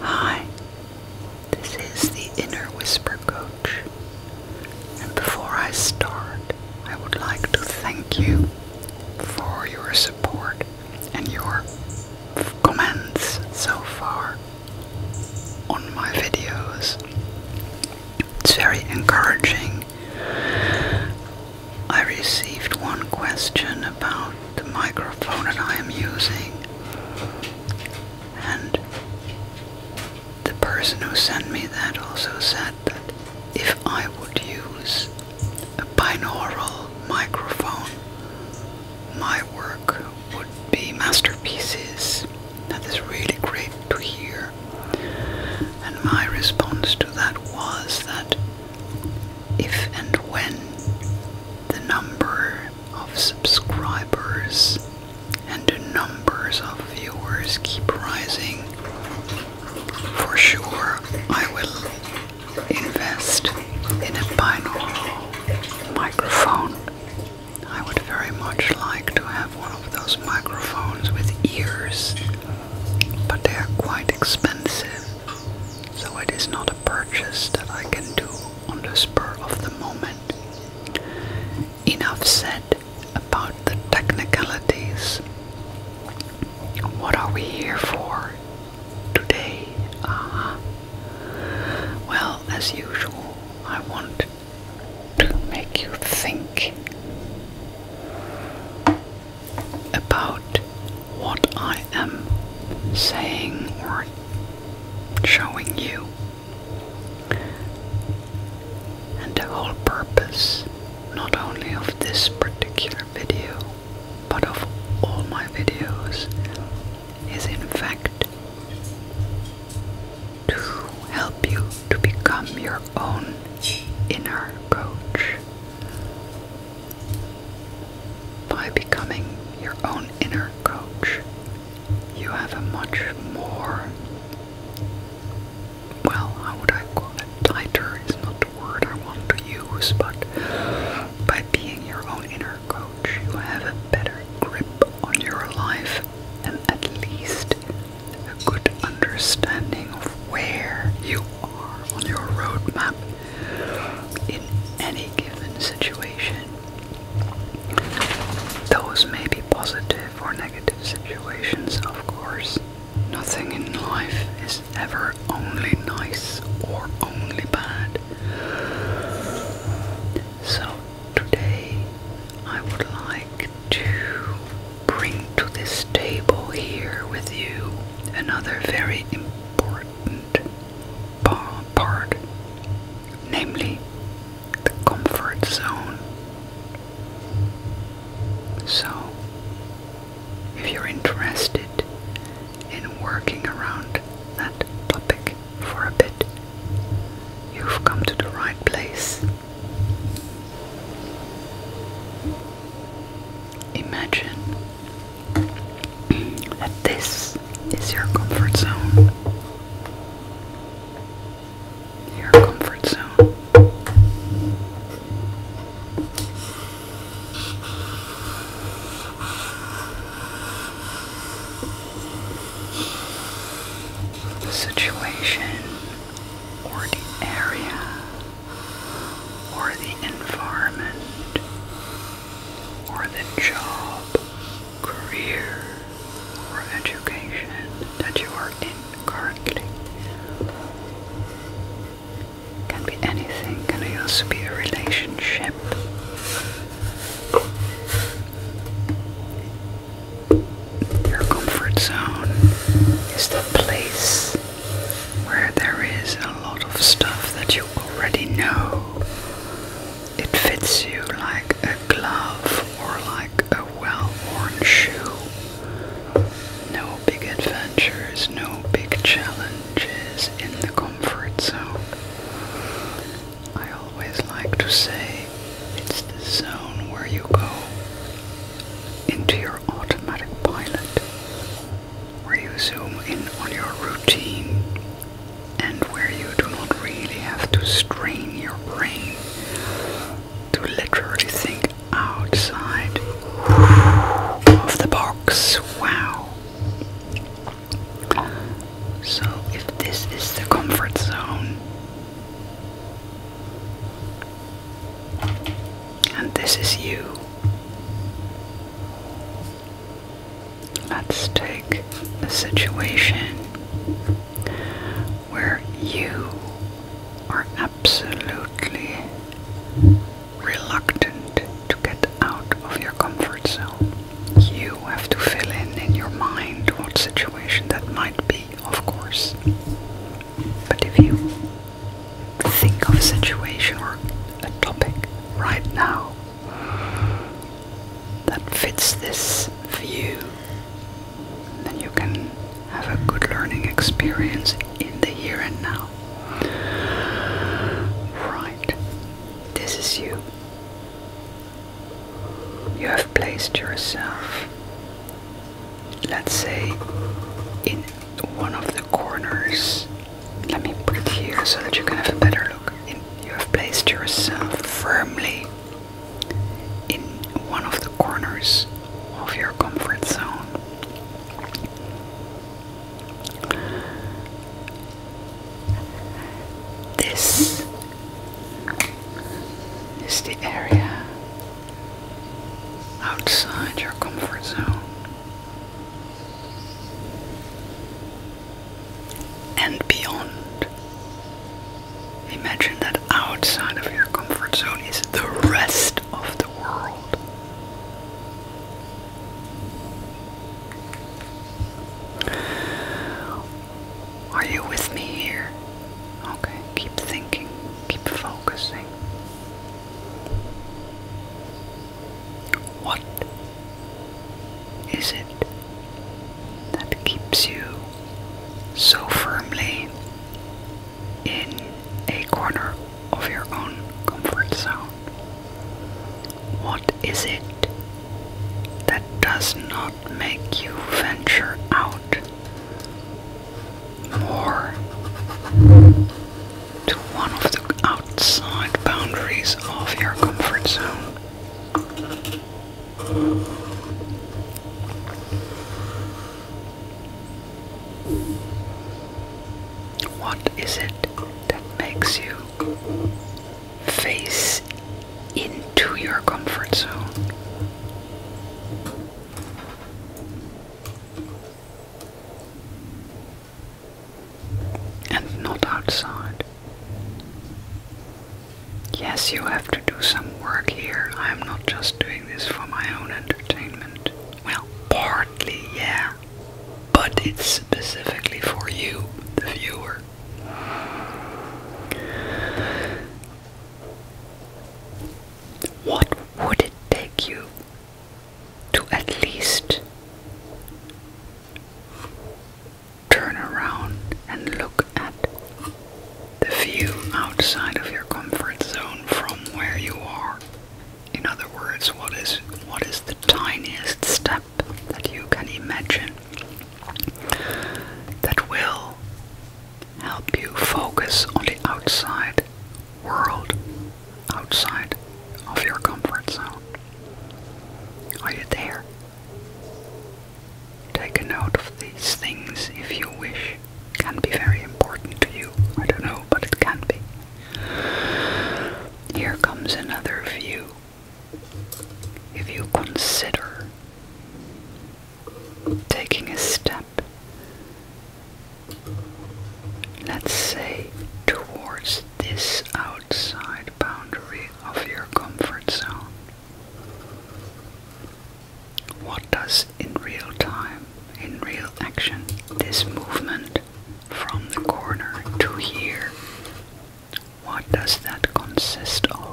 Hi, this is the Inner Whisper Coach, and before I start, I would like to thank you for your support and your comments so far on my videos. It's very encouraging I received one question about the microphone that I am using, and the person who sent me that also said that if I would use a binaural microphone, my work would be masterpieces. That is really great to hear. And my response to that was that if and when the number of subscribers and the numbers of viewers keep rising, for sure I will invest in a binaural microphone. I would very much like to have one of those microphones with ears, but they are quite expensive, so it is not a purchase that I can do on the spur of the moment. Enough said about the technicalities. What are we here for today? Uh Well, as usual, I want to make you think about what I am saying or showing you. And the whole purpose, not only of this particular video, but of all my videos, is in fact to help you to become your own inner coach. By becoming your own inner coach, you have a much more, well, how would I call it? Tighter is not the word I want to use, but by being your own inner coach, you have a better grip on your life and at least a good understanding of where you are on your roadmap in any given situation. Those may be positive or negative situations, of course. Nothing in life is ever only nice or only bad. So Today I would like to bring to this table here with you another very important part, namely the comfort zone. So, if you're interested in working around that topic for a bit, you've come to the right place. Imagine that this is your comfort zone. Your comfort zone. situation or the area or the environment or the job, career, or education that you are in currently. Can be anything, can also be a relationship? Your comfort zone is the place where there is a lot of stuff that you already know. It fits you like a glove or like a well worn shoe. No big adventures, no big challenges in the comfort zone. I always like to say it's the zone where you go into your automatic pilot, where you zoom in on your routine and where you do not really have to strain your brain to literally think outside of the box. Wow. So, if this is the comfort zone, and this is you. Let's take a situation where you are absolutely reluctant to get out of your comfort zone. You have to fill in in your mind what situation that might be of course. But if you think of a situation or a topic right now that fits this view, then you can have a good learning experience in the here and now. Right, this is you you have placed yourself, let's say, in one of the corners. Let me put it here so that you can have a better look. you have placed yourself firmly in one of the corners of your comfort zone. This is the area outside your comfort zone and beyond. Imagine that outside of your comfort zone is the rest of the world. Are you with me here? Okay, keep thinking, keep focusing. What is it that keeps you so firmly in a corner of your own comfort zone? What is it that does not make you venture out more to one of the outside boundaries of your comfort zone. What is it that makes you face into your comfort zone. And not outside. Yes, you have to do some work here. I am not just doing this for my own entertainment. Well, partly, yeah. But it's specifically for you, the viewer. What would it take you to at least turn around and look at the view outside of your comfort zone from where you are? In other words, what is what is the tiniest step that you can imagine that will help you focus on the outside world, outside of your comfort zone. Are you there? Take a note of these things if you wish. Can be very important to you. I don't know, but it can be. Here comes another view. If you consider taking a step, let's say, towards this outside boundary of your comfort zone. What does in real time, in real action, this movement from the corner to here, what does that consist of?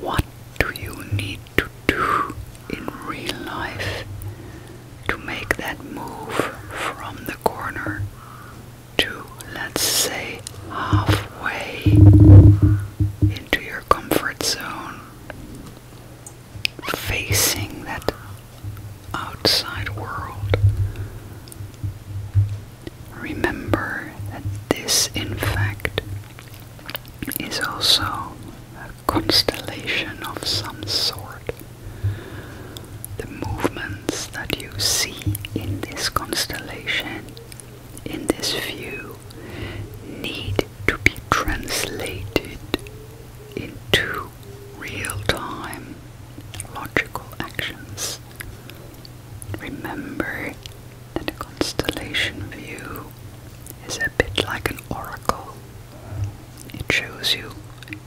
What do you need to do in real life to make that move from the corner to, let's say, halfway into your comfort zone? Facing that outside world. Remember that this, in fact, is also a constellation of some sort. The movements that you see in this constellation, in this view, need to be translated into real time logical actions remember that a constellation view is a bit like an oracle. It shows you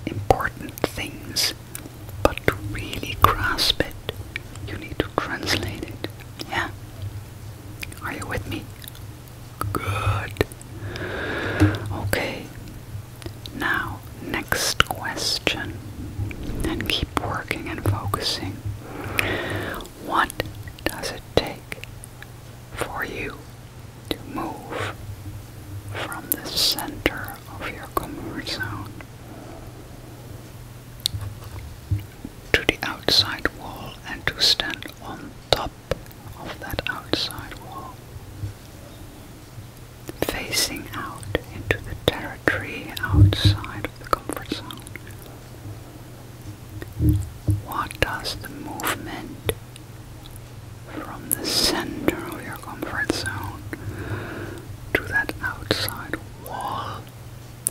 important things, but to really grasp it, you need to translate it. Yeah? Are you with me? Good. Okay. Now, next question. And keep working and focusing. What does it take for you to move from the center of your comfort zone to the outside wall and to stand on top of that outside wall? Facing out into the territory outside of the comfort zone. What does the movement from the center of your comfort zone to that outside wall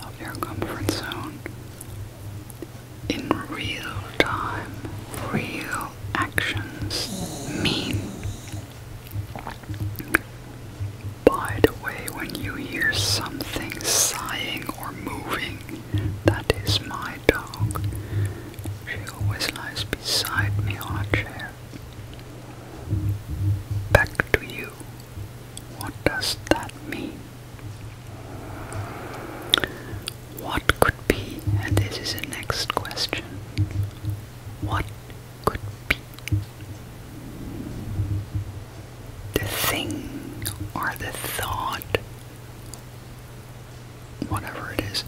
of your comfort zone in real time, real actions mean? By the way, when you hear something sighing or moving, that is my dog. She always lies beside me on a chair. Back to you. What does that mean? What could be, and this is the next question, what could be the thing or the thought, whatever it is,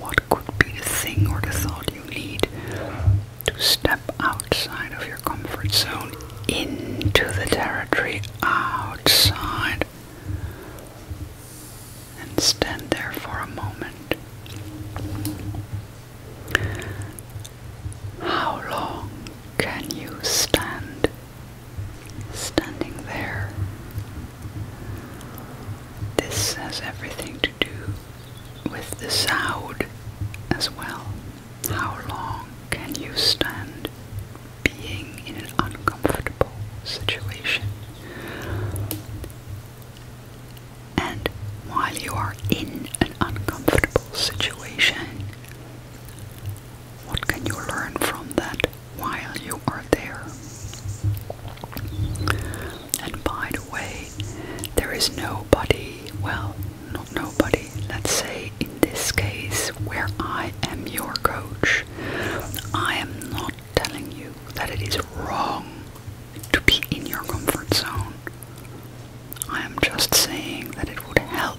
what could be the thing or the thought you need to step outside of your comfort zone into the territory outside and stand there for a moment. How long can you stand standing there? This has everything to do with the sound as well. How long can you stand being in an uncomfortable situation? And while you are in an uncomfortable situation? What can you learn from that while you are there? And by the way, there is nobody, well, not nobody, let's say in this case where I am your coach, I am not telling you that it is wrong to be in your comfort zone. I am just saying that it would help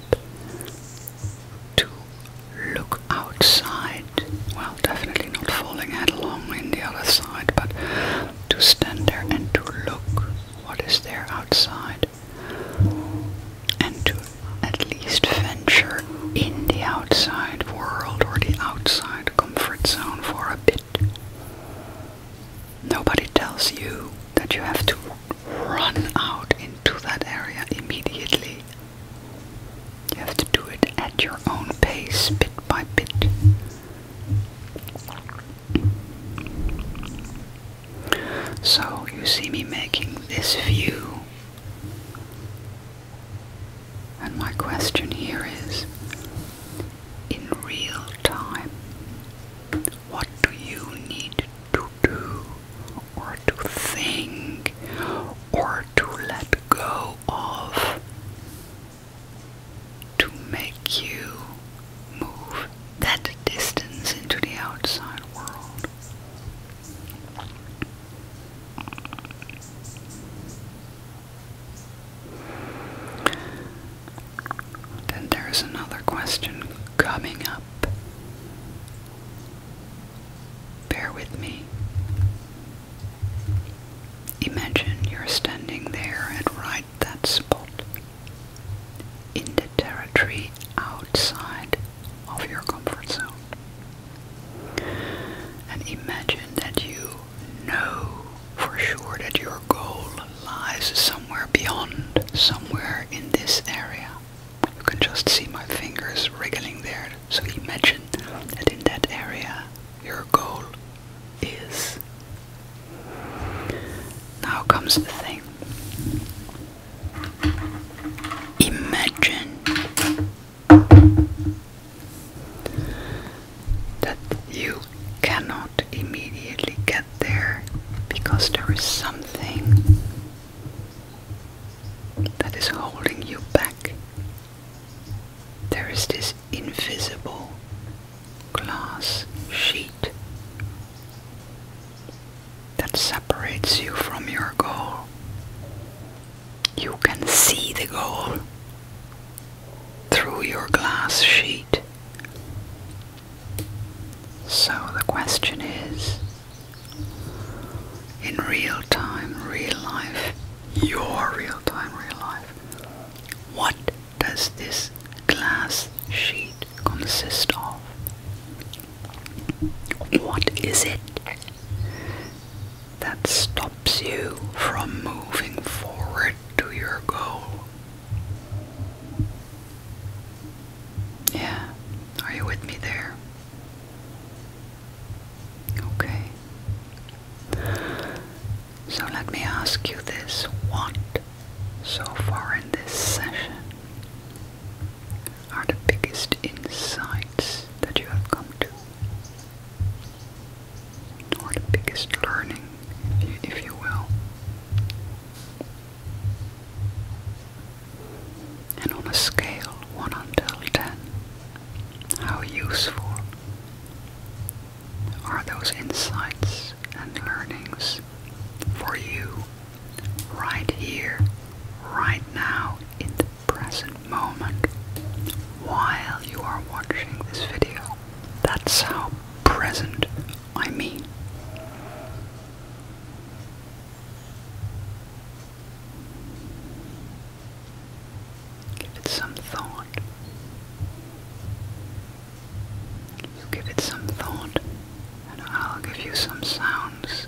to look outside. Well, definitely not falling headlong in the other side, but to stand there and to look what is there outside. And to at least venture in the outside world or the outside comfort zone for a bit. Nobody tells you that you have to run out into that area immediately. You have to do it at your own pace, bit by bit. So you see me making this view. And my question here is in real time. What do you need to do, or to think, or to let go of to make you move that distance into the outside world? Then there's another question coming up. Bear with me. Imagine you're standing there at right that spot in the territory outside of your comfort zone. And imagine that you know for sure that you are your goal lies somewhere beyond, somewhere in this area. You can just see my fingers wriggling there. So imagine that in that area your goal is. Now comes the thing. Imagine that you cannot not immediately get there because there is something that is holding you back. There is this invisible glass sheet that separates you from your goal. You can see the goal through your glass sheet, so the question is in real time, real life, your real time, real life, what does this glass sheet consist of? What is it that stops you from moving forward to your goal? Yeah, are you with me there? Okay. So let me ask you this what so far in this session are the biggest insights that you have come to? Or the biggest learning, if you will. And on a scale 1 until 10, how useful are those insights and learnings for you right here, right now, in the present moment, while you are watching this video? That's how present I mean. Give it some thought. You give it some thought, and I'll give you some sounds.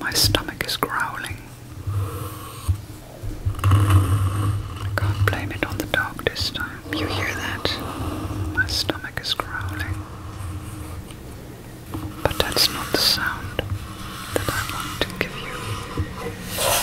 My stomach is growling. can't blame it on the dog this time. You hear that? My stomach is growling. But that's not the sound that I want to give you.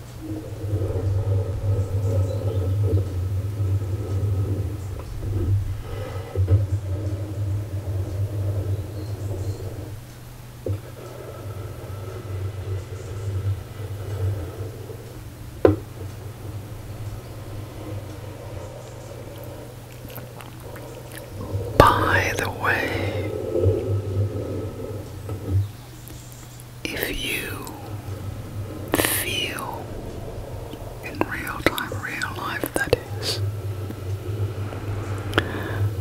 By the way, if you feel in real time, real life that is,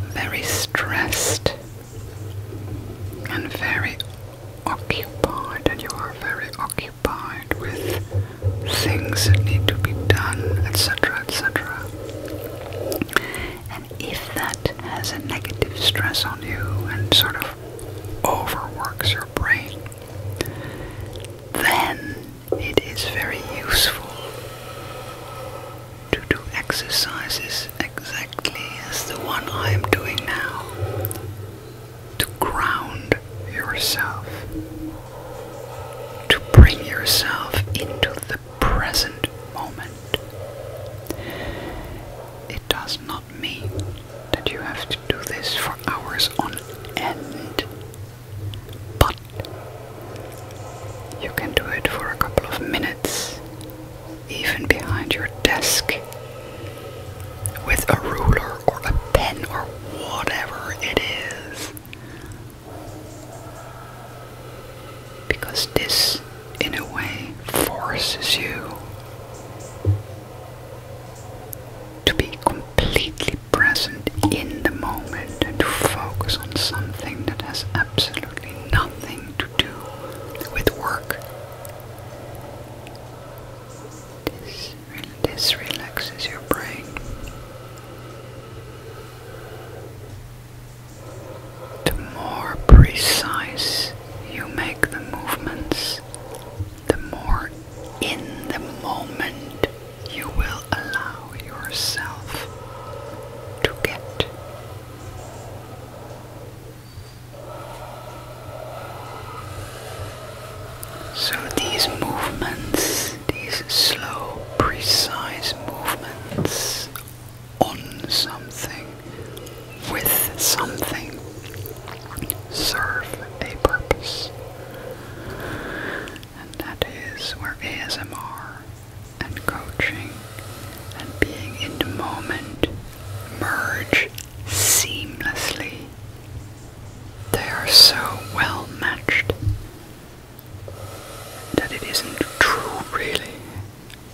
very stressed and very occupied, and you are very occupied with things that need to be done, etc., etc. And if that has a negative stress on you and sort of overworks your brain, then it is very useful to do exercises exactly as the one I am doing now to ground yourself, to bring yourself into the present moment. It does not not that you have to do this for hours on end, but you can do it for a couple of minutes, even behind your desk, with a ruler or a pen or whatever it is. Because this in a way, forces you to be completely present in the moment and to focus on something that has absolutely nothing to do with work. This, this relaxes your brain. The more precise you make the movements, the more in the moment you will allow yourself to get. So these movements, these slow, precise movements on something, with something, serve a purpose. And that is where ASMR and coaching and being in the moment merge seamlessly. They are so well matched that it isn't true, really,